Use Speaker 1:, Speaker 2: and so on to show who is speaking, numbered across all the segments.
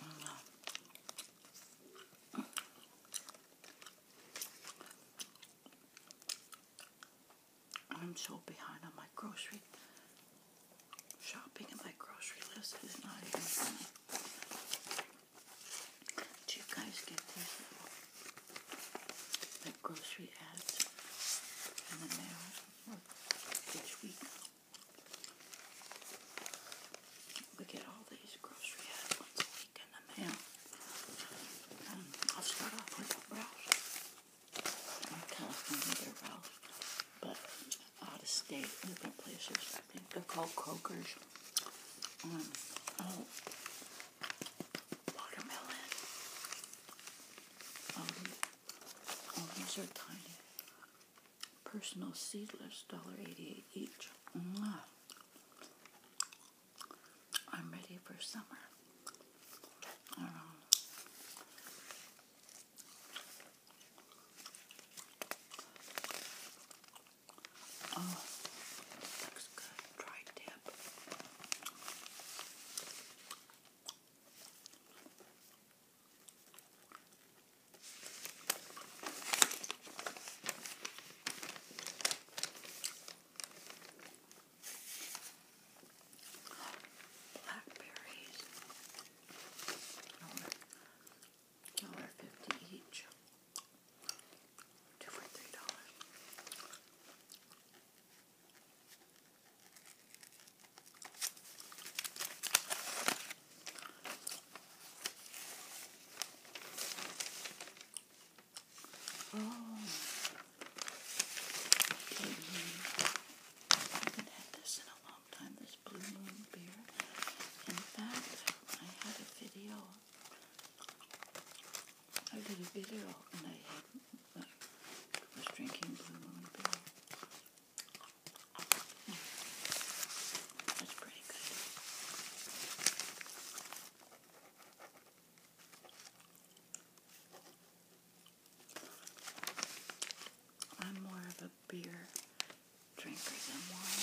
Speaker 1: Mm. I'm so behind on my grocery shopping and my grocery list is not even funny. Do you guys get these like grocery ads in the mail each week? We get all these grocery ads once a week in the mail. Um, I'll start off with a I'm California, they're rouse. But out of state, different places, I think they're called Cokers. Um, oh, watermelon. Um, oh, these are tiny personal seedless, $1.88 each. I'm ready for summer. oh, looks good. Dry dip. Blackberries. Dollar fifty each. Two for three dollars. Oh, I haven't had this in a long time, this Blue Moon beer. In fact, I had a video. I did a video and I was drinking Blue Moon beer. That's pretty good. I'm more of a beer drinker than wine.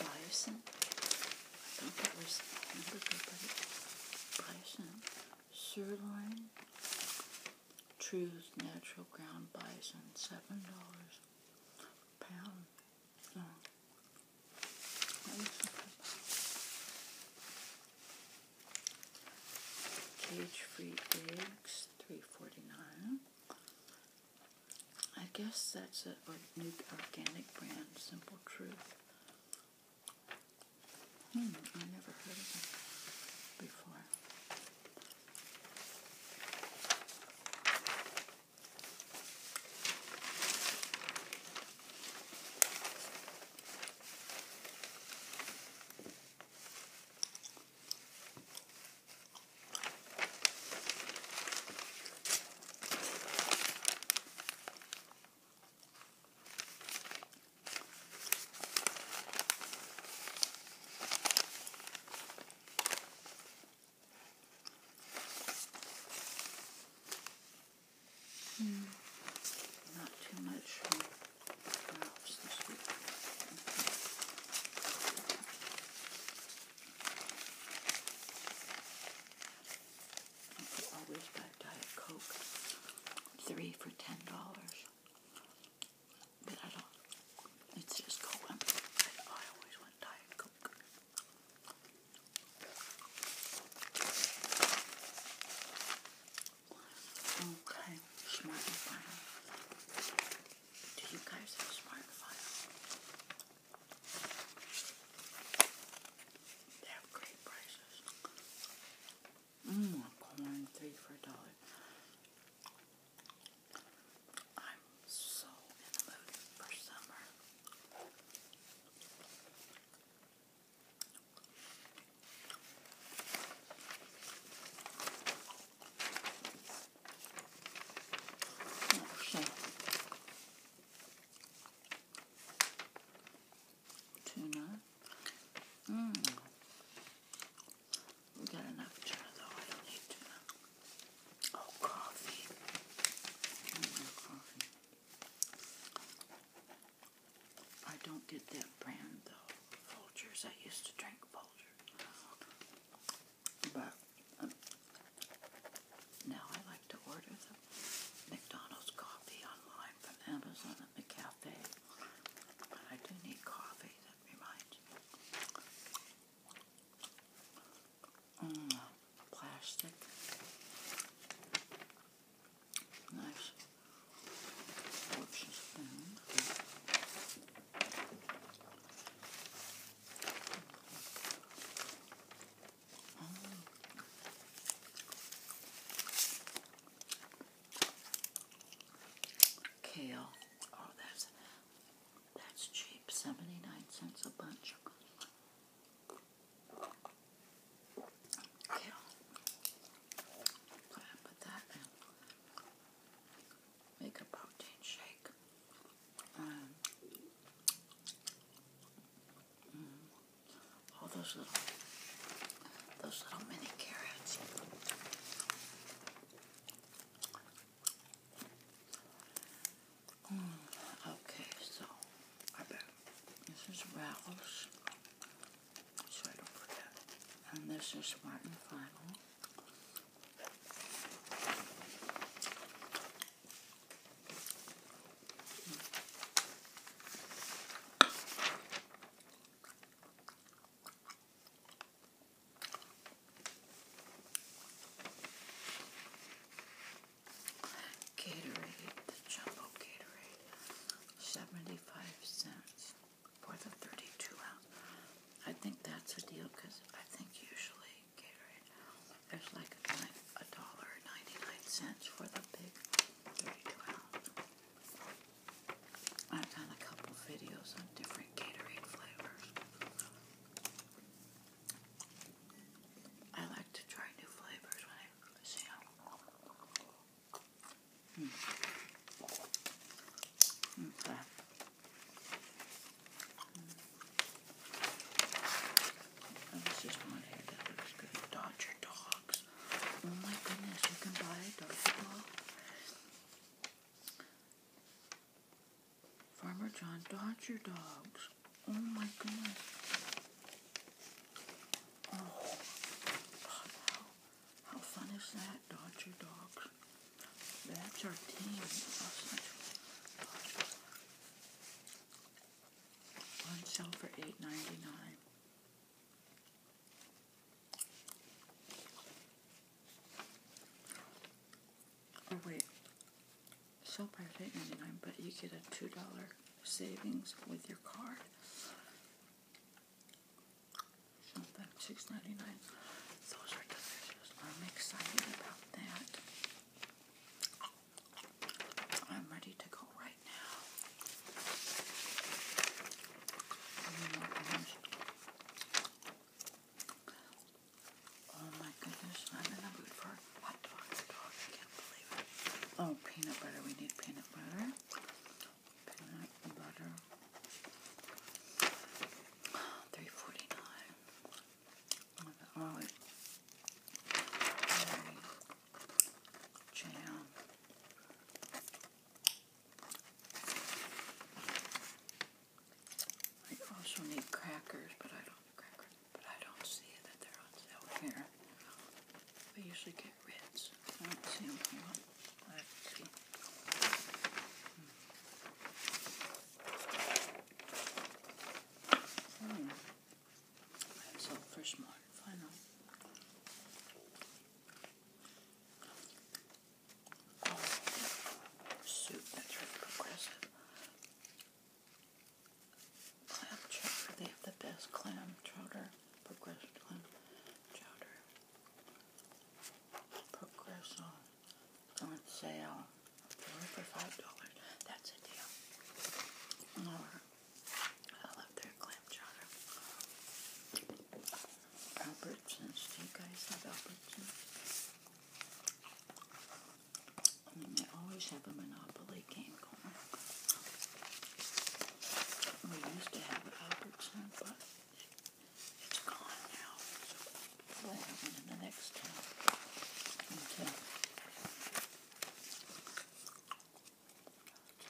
Speaker 1: Bison, I think that was number remember good, but Sirloin. True's natural ground bison. Seven dollars pound. No. Cage free eggs, three forty nine. I guess that's a, new organic brand, Simple Truth. Hmm, I never heard of them before. Mm. Not too much this week. Okay. You could always buy Diet Coke, three for ten dollars. But I don't. It's just cold. I, I always want Diet Coke. Okay, smart and file. Do you guys have smart and file? They have great prices. Mmm, corn three for a dollar. I'm so in the mood for summer. Tuna. Mm. We got enough tuna though. I don't tuna. Oh, coffee. coffee. I don't get that brand though. Folgers. I used to drink Folgers. But um, now I like to order the McDonald's coffee online from Amazon at the cafe. But I do need coffee, that reminds me. Mm, plastic. Nice. Whoops, spoon. Kale. Oh, that's that's cheap. Seventy nine cents a bunch. Kale. Put that in make a protein shake. Um, mm. all those little, those little mini carrots. Mm, okay, so I bet this is Ralph's, so I don't forget, and this is Martin Final. Gatorade, the jumbo Gatorade, 75 cents for the 32 ounce. I think that's a deal because I think usually Gatorade, there's like a dollar ninety-nine cents for the big I've done a couple videos on different Gatorade flavors. I like to try new flavors when I see them. Okay. Hmm. Hmm, Oh, this is one here that looks good. dogs. Oh my goodness, you can buy a Dodger dog. Farmer John Dodger dogs. Oh my goodness. Oh, how, fun is that, Dodger dogs? That's our team. On sale for eight ninety nine. Oh wait, sell price eight ninety nine, but you get a two dollar savings with your card something, six ninety nine. Those are delicious. I'm excited about that. I'm ready to go right now. Oh my goodness, I'm in the mood for hot dogs. I can't believe it. Oh, peanut butter. We need peanut butter. Peanut butter. Three forty nine. Olive, jam. I also need crackers, but I don't see that they're on sale here. I usually get Ritz. So first one, final. soup that's really progressive. Clam chowder. They have the best clam chowder. Progressive clam chowder. Progressive on sale for five dollars. That's a deal. I love their clam Albertsons, do you guys have Albertsons? I mean, they always have a monopoly game going. We used to have Albertsons, but it's gone now. So what happened in the next town? Okay.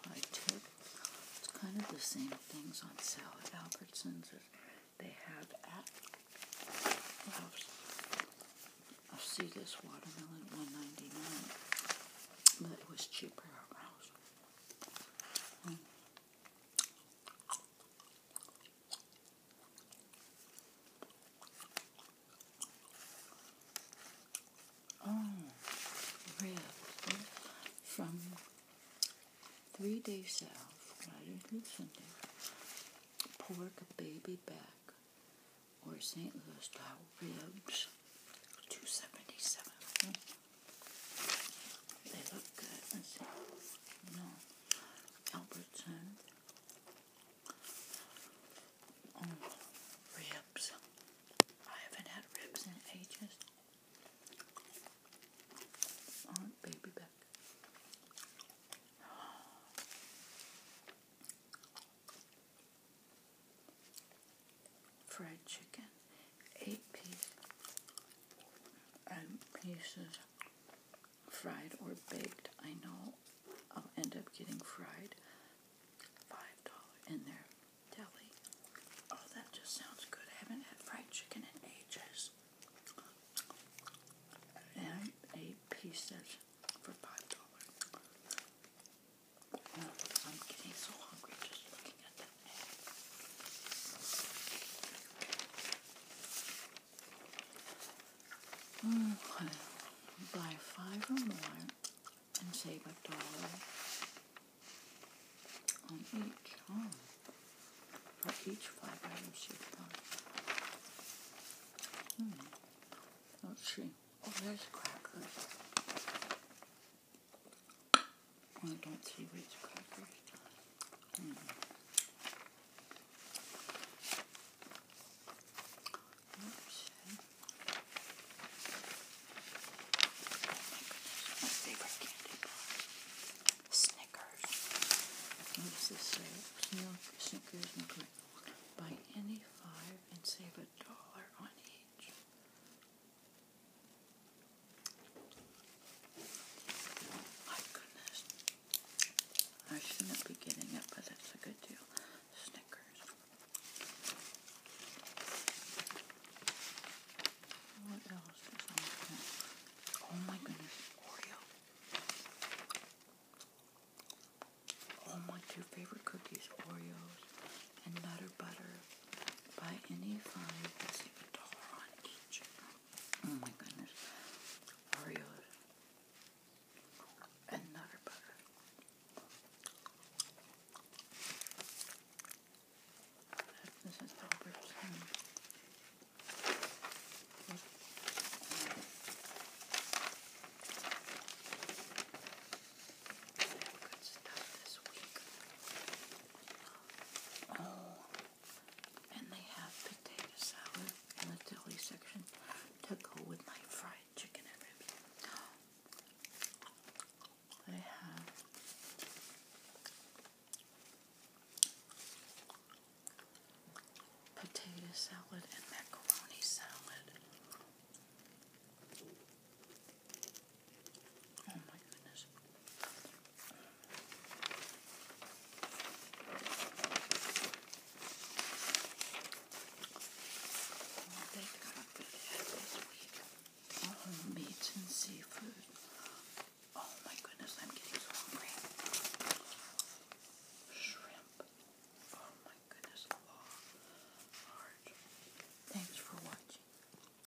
Speaker 1: I took it's kind of the same things on sale at Albertsons as they have at Ralph's. I see this watermelon one ninety nine, but it was cheaper at Ralph's. Oh, ribs from three days out. I do not do something. Pork baby back or St. Louis style ribs, two seventy seven. They look good. Let's see. No. Albertson. Oh, ribs. I haven't had ribs in ages. Oh, baby back. Fried chicken eight um, pieces fried or baked. I know I'll end up getting fried. Five dollar in their deli. Oh, that just sounds good. I haven't had fried chicken in ages. eight pieces for five dollars. I'm getting so hungry just looking at that. Mm, buy five or more and save a dollar on each. Oh. each five items you buy. Hmm. Let's see. Oh, there's crackers. I don't see which crackers. Mm. my favorite candy bar. Snickers. And this is milk, Snickers, and Buy any five and save a dollar on each. My goodness. I shouldn't be getting up, but that's a good deal. Snickers. What else Oh my goodness. Oreo. Oh my two favorite cookies, Oreos and Nutter Butter by any 5 Oh my goodness. Oreos and Butter. This is Robert's home. Good stuff this week. Oh, and they have potato salad in the deli section to go with my fried chicken and ribs. They have potato salad and macaroni salad. Oh my goodness. All meats and seafood. Oh my goodness, I'm getting so hungry. Shrimp. Oh my goodness, large. Thanks for watching.